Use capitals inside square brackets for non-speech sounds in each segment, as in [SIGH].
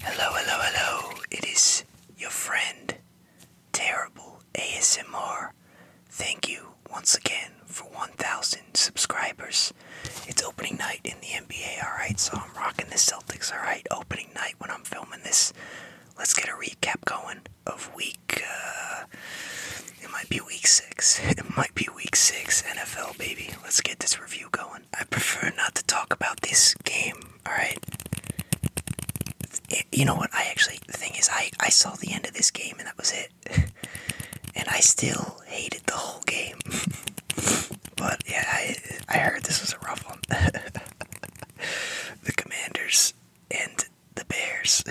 Hello, hello, hello. It is your friend, Terrible ASMR. Thank you once again for 1,000 subscribers. It's opening night in the NBA, alright? So I'm rocking the Celtics, alright? Opening night when I'm filming this. Let's get a recap going of week. Uh, it might be week six. [LAUGHS] It might be week six NFL, baby let's get this review going. I prefer not to talk about this game, alright? You know what? I actually, the thing is, I, I saw the end of this game and that was it. [LAUGHS] and I still hated the whole game. [LAUGHS] but yeah, I, I heard this was a rough one. [LAUGHS] the Commanders and the Bears.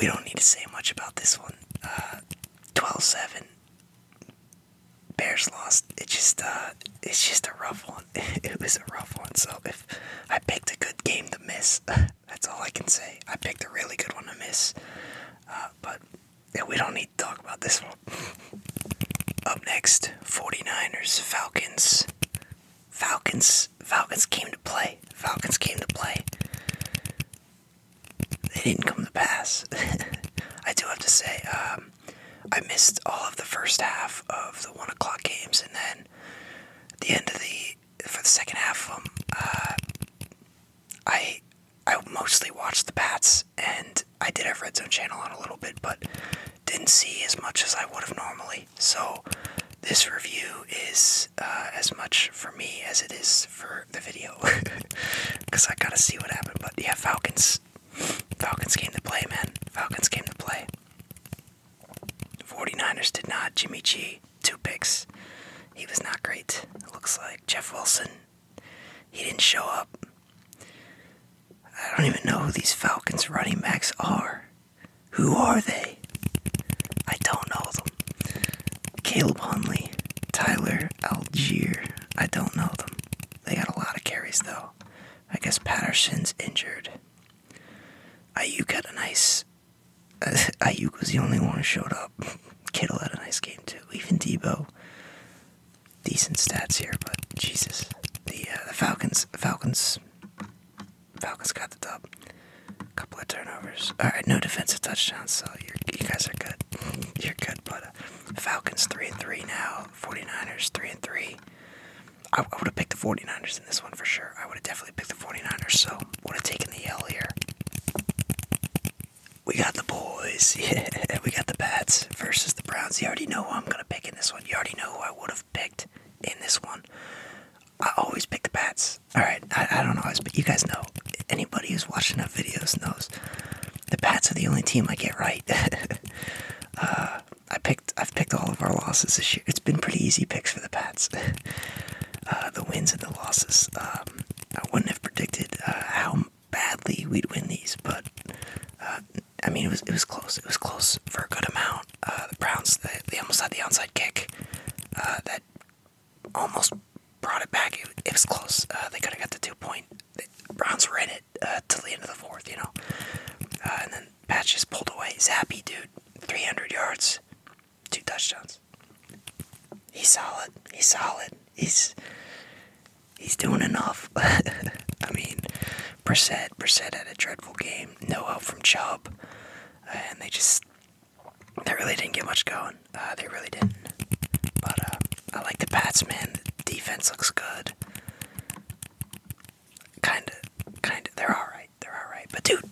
we don't need to say much about this one. 12-7. Uh, Bears lost. It just uh, it's just a rough one. [LAUGHS] It was a rough one. So if I picked a good game to miss, [LAUGHS] that's all I can say. I picked a really good one to miss. Uh, but we don't need to talk about this one. [LAUGHS] Up next, 49ers, Falcons. Falcons, Falcons came to play. Falcons came to play they didn't come to pass. [LAUGHS] I do have to say, um, I missed all of the first half of the one o'clock games, and then the end of the for the second half of them, uh, I I mostly watched the Pats, and I did have Red Zone Channel on a little bit, but didn't see as much as I would have normally. So this review is uh, as much for me as it is for the video because [LAUGHS] I gotta see what happened. But yeah, Falcons, Falcons came to play, man. Falcons came to play. 49ers did not. Jimmy G, two picks. He was not great. looks like Jeff Wilson. He didn't show up. I don't even know who these Falcons running backs are. Who are they? I don't know them. Caleb Hunley, Tyler Algier, I don't know them. They got a lot of carries, though. I guess Patterson's injured. Ayuk had a nice. [LAUGHS] Ayuk was the only one who showed up. [LAUGHS] Kittle had a nice game, too. Even Debo. Decent stats here, but Jesus. The, uh, the Falcons. Falcons. Falcons got the dub. A couple of turnovers. All right, no defensive touchdowns, so you guys are good. [LAUGHS] You're good, but uh, Falcons 3 and 3 now. 49ers 3 and 3. I, would have picked the 49ers in this one for sure. I would have definitely picked the 49ers, so would have taken the L here. We got the boys. [LAUGHS] Yeah, we got the Pats versus the Browns. You already know who I'm going to pick in this one. You already know who I would have picked in this one. I always pick the Pats. All right, I, I don't always, but you guys know. Anybody who's watching our videos knows the Pats are the only team I get right. [LAUGHS] Uh, I picked. I've picked all of our losses this year. It's been pretty easy picks for the Pats. [LAUGHS] Uh, the wins and the losses. Um, I wouldn't have predicted uh, how badly we'd win these, but I mean, it was it was close. It was close for a good amount. the Browns. They, almost had the onside kick. that almost brought it back. It, it was close. they could have got the two point Browns were in it uh, till the end of the fourth, you know. Uh, and then Patch just pulled away. Zappy, dude, 300 yards, two touchdowns. He's solid. He's solid. He's he's doing enough. [LAUGHS] I mean, Brissett, Brissett had a dreadful game. No help from Chubb, uh, and they just they really didn't get much going. Uh, they really didn't. But uh, I like the Pats, man. The defense looks good. Kinda, kinda. They're all right. They're all right. But dude,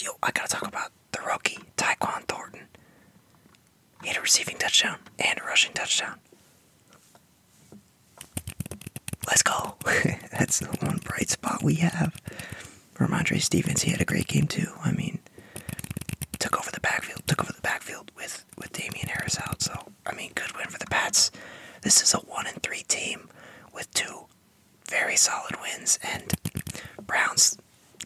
yo, I gotta talk about the rookie Tyquan Thornton. He had a receiving touchdown and a rushing touchdown. Let's go. [LAUGHS] That's the one bright spot we have. Ramondre Stephens. he had a great game too. I mean, took over the backfield, took over the backfield with with with Damian Harris out. So I mean, good win for the Pats. This is a one in three team with two very solid wins, and Browns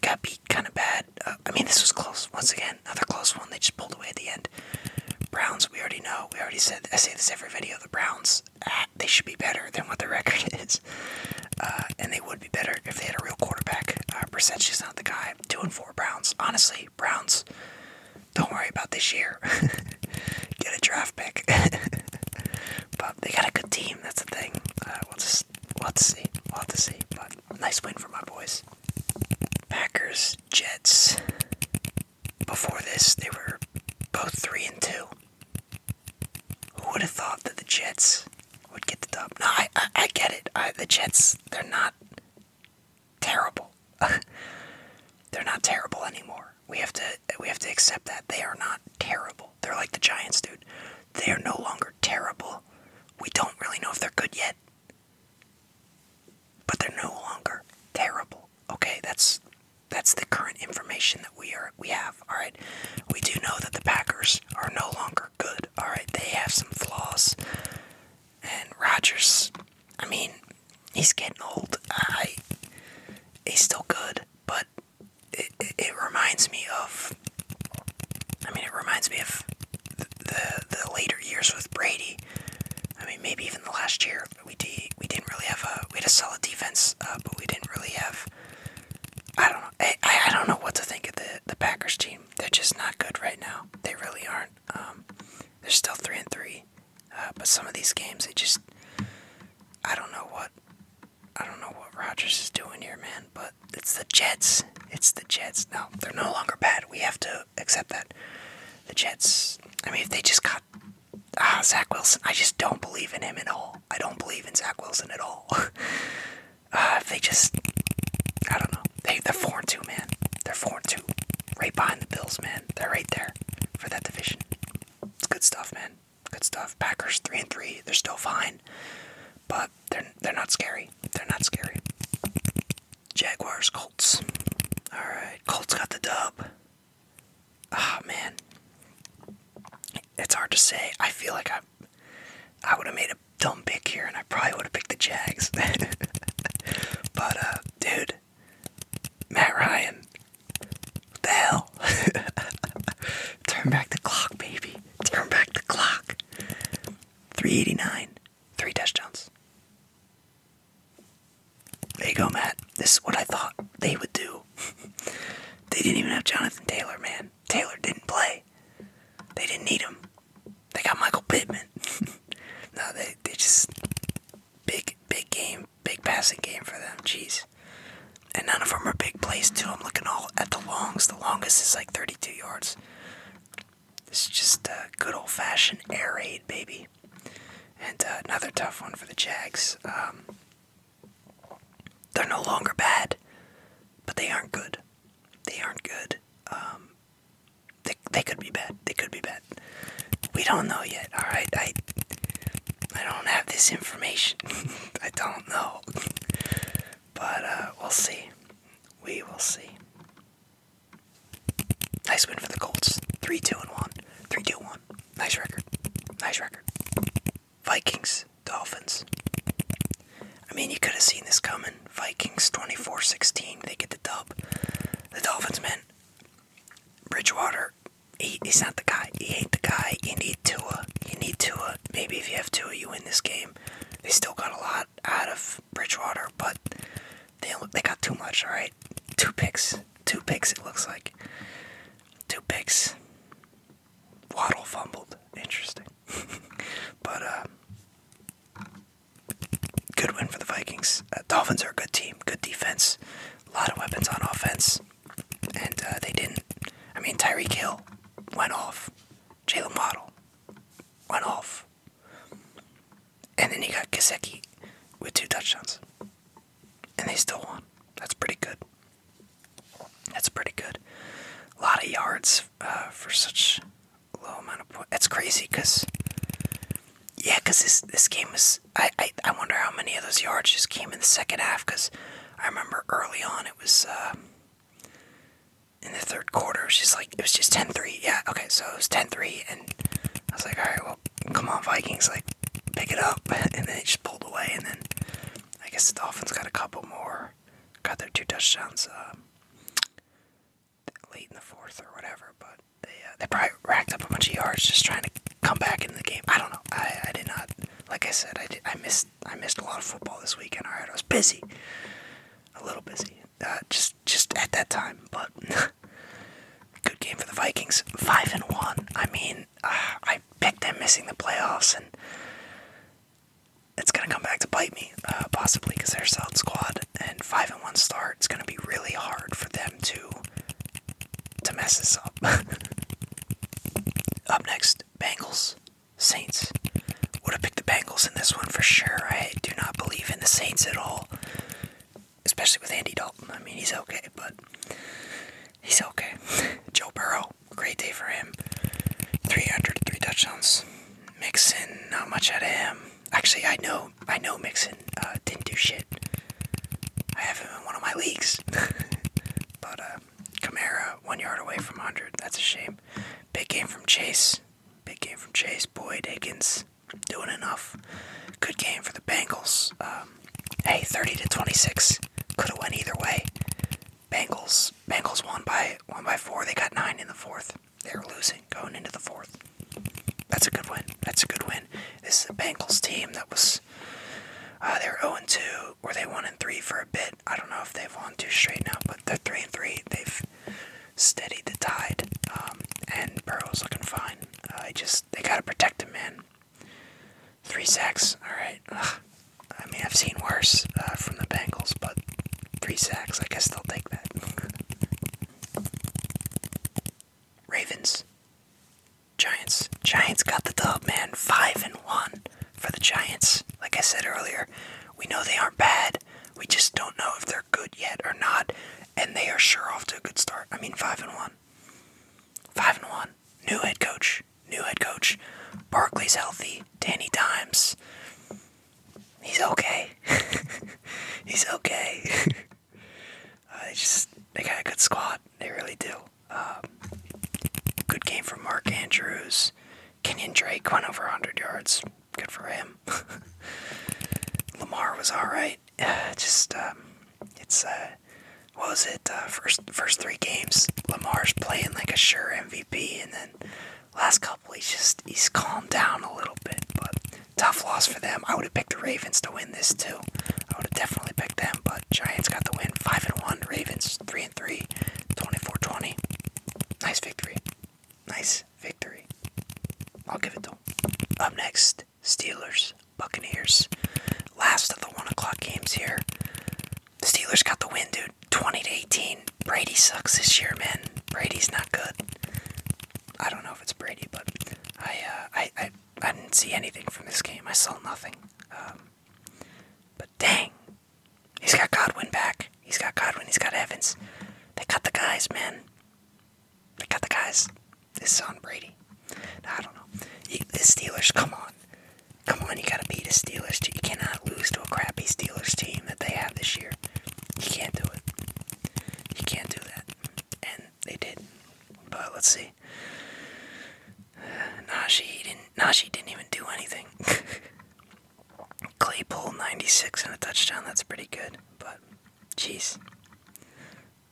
got beat kind of bad. Uh, I mean, this was close once again. Another close one. They just pulled away at the end. Browns, we already know. We already said. I say this every video. The Browns, ah, they should be better than what their record [LAUGHS] is, uh, and they would be better if they had a real quarterback. Uh, Brissett, she's not the guy. Two and four Browns. Honestly, Browns, don't worry about this year. [LAUGHS] Get a draft pick. [LAUGHS] but they got a good team. That's the thing. Uh, we'll just we'll see. We'll see. But nice win for my boys. Packers, Jets. Before this, they were both three and two. Who would have thought that the Jets would get the dub? No, I I, I get it. I, the Jets, they're not terrible. [LAUGHS] They're not terrible anymore. We have to we have to accept that they are not terrible. They're like the Giants, dude. They are no longer terrible. We don't really know if they're good yet. But they're no longer terrible. Okay, that's that's the current information that we are we have. All right, we do know that the Packers are no longer good. All right, they have some flaws. And Rogers, I mean, he's getting old. I, he's still good, but it, it, reminds me of. I mean, it reminds me of the, the later years with Brady. I mean, maybe even the last year we de- we didn't really have a we had a solid defense, uh, but we didn't really have. I don't know. I, I don't know what to think of the the Packers team. They're just not good right now. They really aren't. Um, they're still three and three, uh, but some of these games, they just. I don't know what. I don't know what Rogers is doing here, man. But it's the Jets. It's the Jets. No, they're no longer bad. We have to accept that. The Jets. I mean, if they just got ah, Zach Wilson, I just don't believe in him at all. I don't believe in Zach Wilson at all. [LAUGHS] uh, if they just, I don't know, they they're four and two, man. They're four and two, right behind the Bills, man. They're right there for that division. It's good stuff, man. Good stuff. Packers three and three. They're still fine, but they're they're not scary. They're not scary. Jaguars, Colts. All right, Colts got the dub. Ah, man. It's hard to say. I feel like I I would have made a dumb pick here, and I probably would have picked the Jags. [LAUGHS] but, uh, dude, Matt Ryan, the hell? [LAUGHS] Turn back the clock, baby. Turn back the clock. 389, three touchdowns. There you go, Matt. This is what I thought they would do. [LAUGHS] they didn't even have Jonathan Taylor, man. Taylor didn't play. They didn't need him. They got Michael Pittman. [LAUGHS] no, they they just big big game, big passing game for them. Jeez. And none of them are big plays too. I'm looking all at the longs. The longest is like 32 yards. This is just a good old-fashioned air aid, baby. And uh, another tough one for the Jags. Um, they're no longer bad, but they aren't good. They aren't good. Um, they, could be bad. They could be bad. We don't know yet. All right. I I don't have this information. [LAUGHS] I don't know. but uh, we'll see. We will see. Nice win for the Colts. 3 2 and 1. 3 2 1. Nice record. Nice record. Vikings, Dolphins. I mean, you could have seen this coming. Vikings 24 16, they get the dub. The Dolphins, man, Bridgewater, he's not the guy. He ain't the guy. You need Tua. You need Tua. Maybe if you have two, you win this game. They still got a lot out of Bridgewater, but they, they got too much, alright? Two picks. Two picks, it looks like. Two picks. Waddle fumbled. Interesting. [LAUGHS] but, uh, Good win for the Vikings. Uh, Dolphins are a good team, good defense, a lot of weapons on offense, and uh, they didn't. I mean, Tyreek Hill went off, Jalen Waddle went off, and then he got Kaseki with two touchdowns, and they still won. That's pretty good. That's pretty good. A lot of yards uh, for such low amount of points. That's crazy, cause yeah, cause this this game is. I, I I wonder how many of those yards just came in the second half, cause I remember early on it was uh, in the third quarter. It was just like it was just 10-3. Yeah, okay, so it was 10-3, and I was like, all right, well, come on, Vikings, like pick it up, [LAUGHS] and then it just pulled away, and then I guess the Dolphins got a couple more, got their two touchdowns. Uh, late in the fourth or whatever. But they uh, they probably racked up a bunch of yards just trying to come back in the game. I don't know. I, I did not. Like I said, I did, I missed I missed a lot of football this weekend. All right, I was busy, a little busy, uh, just just at that time. But [LAUGHS] good game for the Vikings, five and one. I mean, uh, I picked them missing the playoffs, and it's going to come back to bite me, uh, possibly, because they're solid squad. And 5 and 1 start. it's going to be really hard for them to, to mess this up. [LAUGHS] up next, Bengals, Saints. Would have picked the Bengals in this one for sure. I do not believe in the Saints at all, especially with Andy Dalton. I mean, he's okay, but he's okay. [LAUGHS] Joe Burrow, great day for him. 303 touchdowns, Mixon, not much out of him. Actually, I know, I know Mixon uh, didn't do shit. I have him in one of my leagues. [LAUGHS] but uh, Kamara, one yard away from 100. That's a shame. Big game from Chase. Big game from Chase. Boyd Higgins doing enough. Good game for the Bengals. Um, hey, 30 to 26. Could have went either way. Bengals. Bengals won by one by four. They got nine in the fourth. They're losing going into the fourth. That's a good win. That's a good win. This is a Bengals team that was. Uh, they are 0 2, or they 1 3 for a bit. I don't know if they've won two straight now, but they're 3 3. They've steadied the tide. Um, and Burrow's looking fine. Uh, I just. They gotta protect him, man. Three sacks. Alright. I mean, I've seen worse uh, from the Bengals, but three sacks. I guess they'll take Ravens. Giants. Giants got the dog, man. Five and one for the Giants. Like I said earlier, we know they aren't bad. We just don't know if they're good yet or not. And they are sure off to a good start. I mean five and one. Five and one. New head coach. New head coach. Barkley's healthy. Danny Dimes he's okay. [LAUGHS] he's okay. [LAUGHS] Uh, they just they got a good squad. They really do. Um, good game from Mark Andrews. Kenyon Drake went over 100 yards. Good for him. [LAUGHS] Lamar was all right. [SIGHS] just um, it's uh, what was it? Uh, first first three games, Lamar's playing like a sure MVP, and then Last couple, he's just he's calmed down a little bit, but tough loss for them. I would have picked the Ravens to win this too. I would have definitely picked them, but Giants got the win, five and one. Ravens three and three, 24-20. Nice victory. Nice victory. I'll give it to Up next, Steelers, Buccaneers. Last of the one o'clock games here. The Steelers got the win, dude. 20 to 18. Brady sucks this year, man. Brady's not good. I don't know if it's Brady, but I uh, I, I didn't see anything from this game. I saw nothing. Um, but dang, he's got Godwin back. He's got Godwin. He's got Evans. They got the guys, man. They got the guys. This is on Brady. I don't know. the Steelers, come on. Come on, you gotta beat the Steelers. Team. You cannot lose to a crappy Steelers team that they have this year. You can't do it. You can't do that. And they did. But let's see. Uh, Najee didn't. Najee didn't even do anything. [LAUGHS] Claypool 96 and a touchdown. That's pretty good. But, jeez,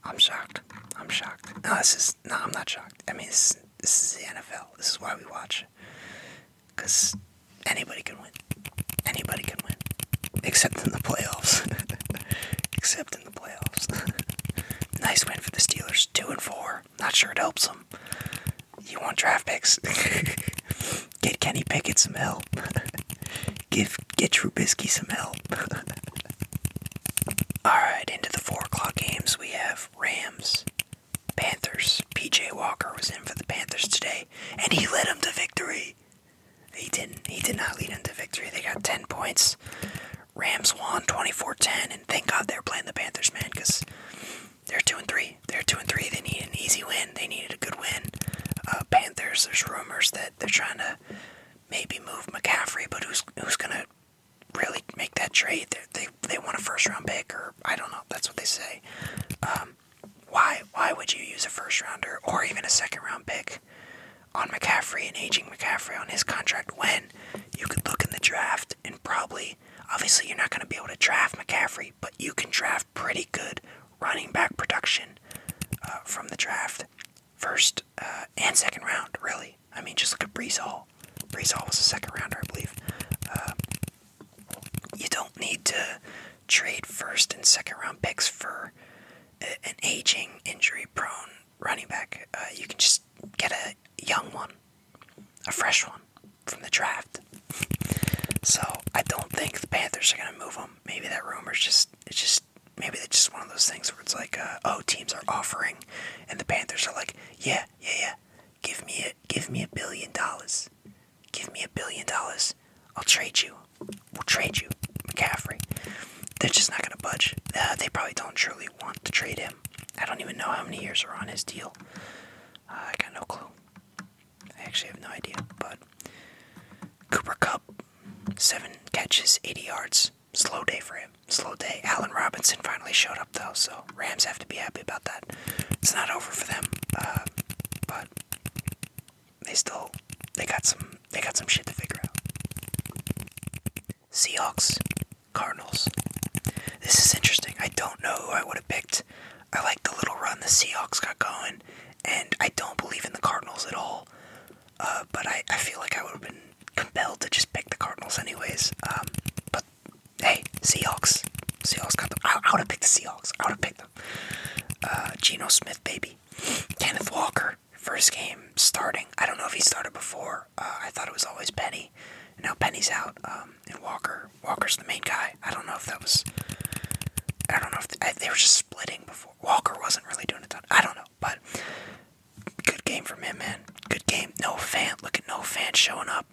I'm shocked. I'm shocked. No, this is no. I'm not shocked. I mean, this is the NFL. This is why we watch. Because anybody can win. Anybody can win. Except in the playoffs. [LAUGHS] Except in the playoffs. [LAUGHS] nice win for the Steelers. 2 and 4. Not sure it helps them. You want draft picks? [LAUGHS] Get Kenny Pickett some help. Give get Trubisky some help. Alright, into the four o'clock games we have Rams, Panthers. PJ Walker was in for the Panthers today and he led them to victory. He didn't. He did not lead them to victory. They got ten points. Rams won 24-10, and thank God they're playing the Panthers, man, because they're two and three. They're two and three. They need an easy win. They needed a good win. Uh, Panthers. There's rumors that they're trying to maybe move McCaffrey, but who's who's gonna really make that trade? they they want a first round pick, or I don't know. That's what they say. Um, why why would you use a first rounder or even a second round pick on McCaffrey and aging McCaffrey on his contract when you could look in the draft and probably obviously you're not gonna be able to draft McCaffrey, but you can draft pretty good running back production uh, from the draft. First uh, and second round, really. I mean, just look at Brees Hall. was a second rounder, I believe. Uh, you don't need to trade first and second round picks for an aging, injury prone running back. Uh, you can just get a young one, a fresh one from the draft. so I don't think the Panthers are gonna move him. Maybe that rumor's just it's just maybe it's just one of those things where it's like uh, oh teams are offering, and the Panthers are like yeah yeah yeah give me a give me a billion dollars Give me a billion dollars. I'll trade you. We'll trade you, McCaffrey. They're just not going to budge. Uh, they probably don't truly want to trade him. I don't even know how many years are on his deal. Uh, I got no clue. I actually have no idea. But Cooper Cup, seven catches, 80 yards. Slow day for him. Slow day. Allen Robinson finally showed up, though, so Rams have to be happy about that. It's not over for them, uh, but they still they got some they got some shit to figure out. Seahawks, Cardinals. This is interesting. I don't know who I would have picked. I like the little run the Seahawks got going, and I don't believe in the Cardinals at all. Uh, but I, I feel like I would have been compelled to just pick the Cardinals anyways. Um, but hey, Seahawks. Seahawks got the. I, would have picked the Seahawks. I would have picked them. Smith. Uh, Geno Smith, baby. Kenneth Walker, first game starting. I don't know if he started before. Uh, I thought it was always Penny. Now Penny's out, um, and Walker. Walker's the main guy. I don't know if that was. I don't know if they, they were just splitting before. Walker wasn't really doing a ton. I don't know, but good game from him, man. Good game. No fan. Look at no fan showing up.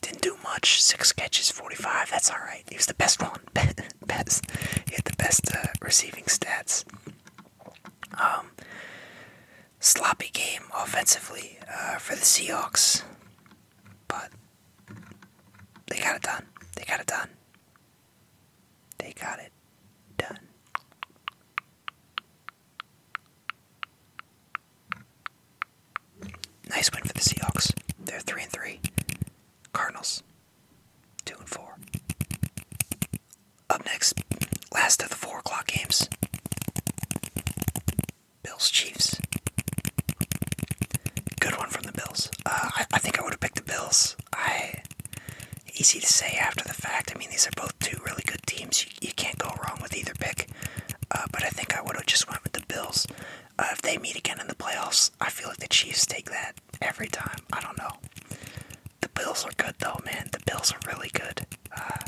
Didn't do much. Six catches, 45. That's all right. He was the best one. [LAUGHS] best. He had the best uh, receiving stats. Um, sloppy game offensively uh, for the Seahawks, but they got it done. They got it done. They got it done. Nice win for the Seahawks. They're three and three. Cardinals, two and four. Up next, last of the four o'clock games. Bills Chiefs. Good one from the Bills. Uh, I, think I would have picked the Bills. I easy to say after the fact. I mean, these are both two really good teams. You, can't go wrong with either pick. Uh, but I think I would have just went with the Bills. Uh, if they meet again in the playoffs, I feel like the Chiefs take that every time. I don't know. The Bills are good though, man. The Bills are really good. Uh,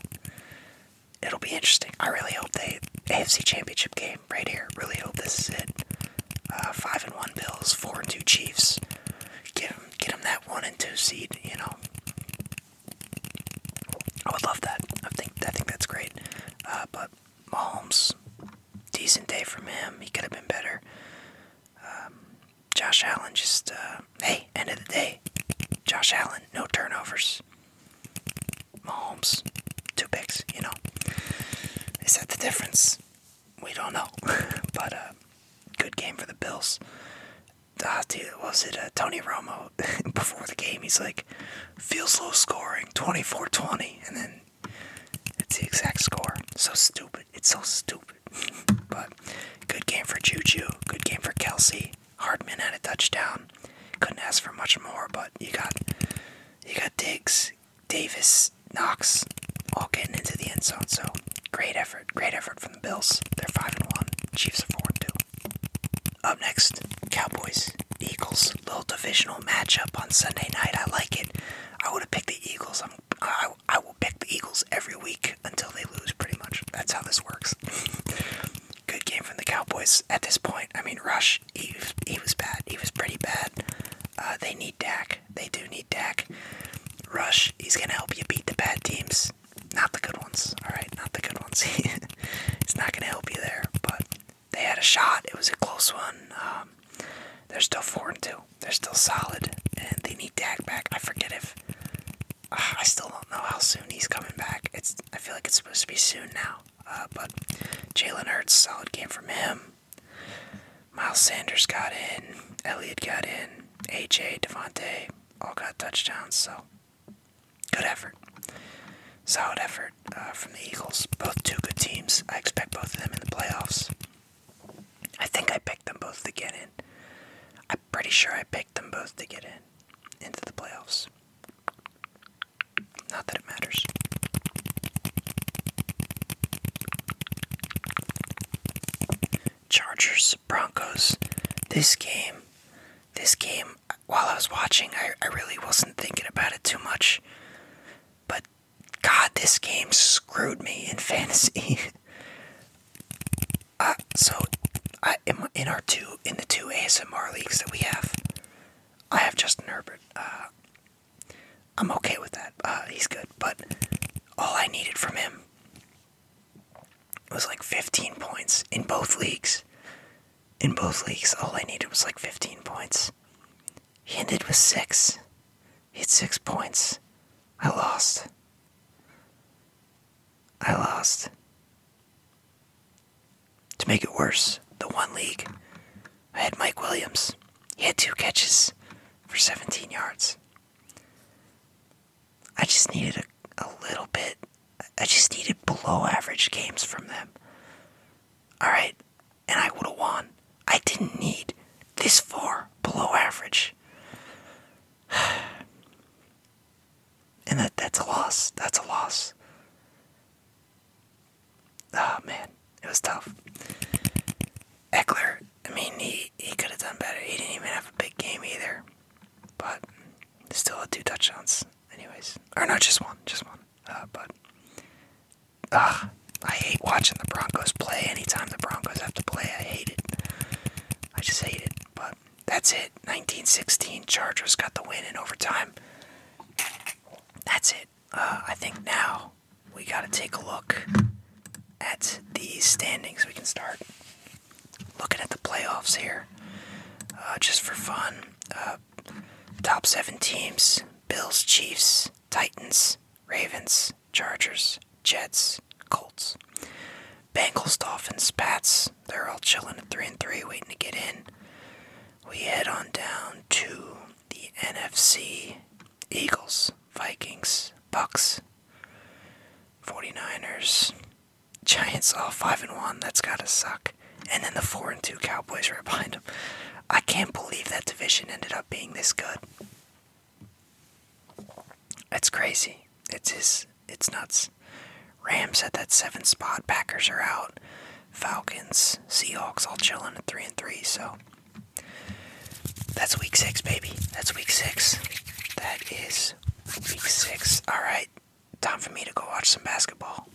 it'll be interesting. I really hope they AFC Championship game right here. Really hope this is it. Uh, five and one Bills, four and two Chiefs. Get them, get them that one and two seed. You know, I would love that. I think I think that's great. but Mahomes, decent day from him. He could have been better. Um, Josh Allen just, uh, hey, end of the day, Josh Allen, no turnovers. Mahomes, two picks, you know. Is that the difference? We don't know. [LAUGHS] but uh, good game for the Bills. Uh, was it uh, Tony Romo [LAUGHS] before the game? He's like, feels low scoring 24-20 and then it's the exact score. So stupid. It's so stupid. [LAUGHS] but good game for Juju. Good game for Kelsey. Hardman had a touchdown. Couldn't ask for much more, but you got you got Diggs, Davis, Knox, all getting into the end zone. So great effort, great effort from the Bills. They're five and one. Chiefs are four and two. Up next, Cowboys Eagles. little divisional matchup on Sunday night. I like it. I would have picked the Eagles. I'm, I, I will pick the Eagles every week until they lose, pretty much. That's how this works. [LAUGHS] Good game from the Cowboys at this point. I mean, Rush, he, he was bad. He was pretty bad. Uh, they need Dak. They do need Dak. Rush, he's going to help you beat the bad teams. Not the good ones, alright? Not the good ones. it's [LAUGHS] not going to help you there, but they had a shot. It was a close one. Um, they're still four and two. They're still solid, and they need Dak back. I forget if uh, I still don't know how soon he's coming back. It's I feel like it's supposed to be soon now. Uh, but Jalen Hurts, solid game from him. Miles Sanders got in. Elliott got in. AJ Devontae all got touchdowns. So good effort solid effort uh, from the Eagles. Both two good teams. I expect both of them in the playoffs. I think I picked them both to get in. I'm pretty sure I picked them both to get in into the playoffs. Not that it matters. Chargers, Broncos. This game, this game while I was watching, I, I really wasn't thinking about it too much. But God, this game screwed me in [LAUGHS] fantasy. [LAUGHS] uh, so, I, in, in our two, in the two ASMR leagues that we have, I have just Herbert. Uh, I'm okay with that. Uh, he's good, but all I needed from him was like 15 points in both leagues. In both leagues, all I needed was like 15 points. He ended with six. He had six points. I lost. I lost. To make it worse, the one league, I had Mike Williams. He had two catches for 17 yards. I just needed a, a little bit. I just needed below average games from them. Alright, and I would have won. I didn't need this far below average. [SIGHS] And that, that's a loss. That's a loss. Oh, man. It was tough. Eckler, I mean, he, he could have done better. He didn't even have a big game either. But still had two touchdowns. Anyways. Or not just one. Just one. Uh, but ugh, I hate watching the Broncos play. Anytime the Broncos have to play, I hate it. I just hate it. But that's it. 1916 Chargers got the win in overtime. That's it. Uh, I think now we got to take a look at the standings. We can start looking at the playoffs here uh, just for fun. Top seven teams Bills, Chiefs, Titans, Ravens, Chargers, Jets, Colts. Bengals, Dolphins, Pats. They're all chilling at 3 and 3, waiting to get in. We head on down to the NFC Eagles, Vikings, Bucks, 49ers, Giants all 5 and 1. That's got to suck. And then the 4 and 2 Cowboys right behind them. I can't believe that division ended up being this good. It's crazy. It's his, it's nuts. Rams at that seven spot. Packers are out. Falcons, Seahawks all chilling at three and three. So that's week six, baby. That's week six. That is week six. All right, time for me to go watch some basketball.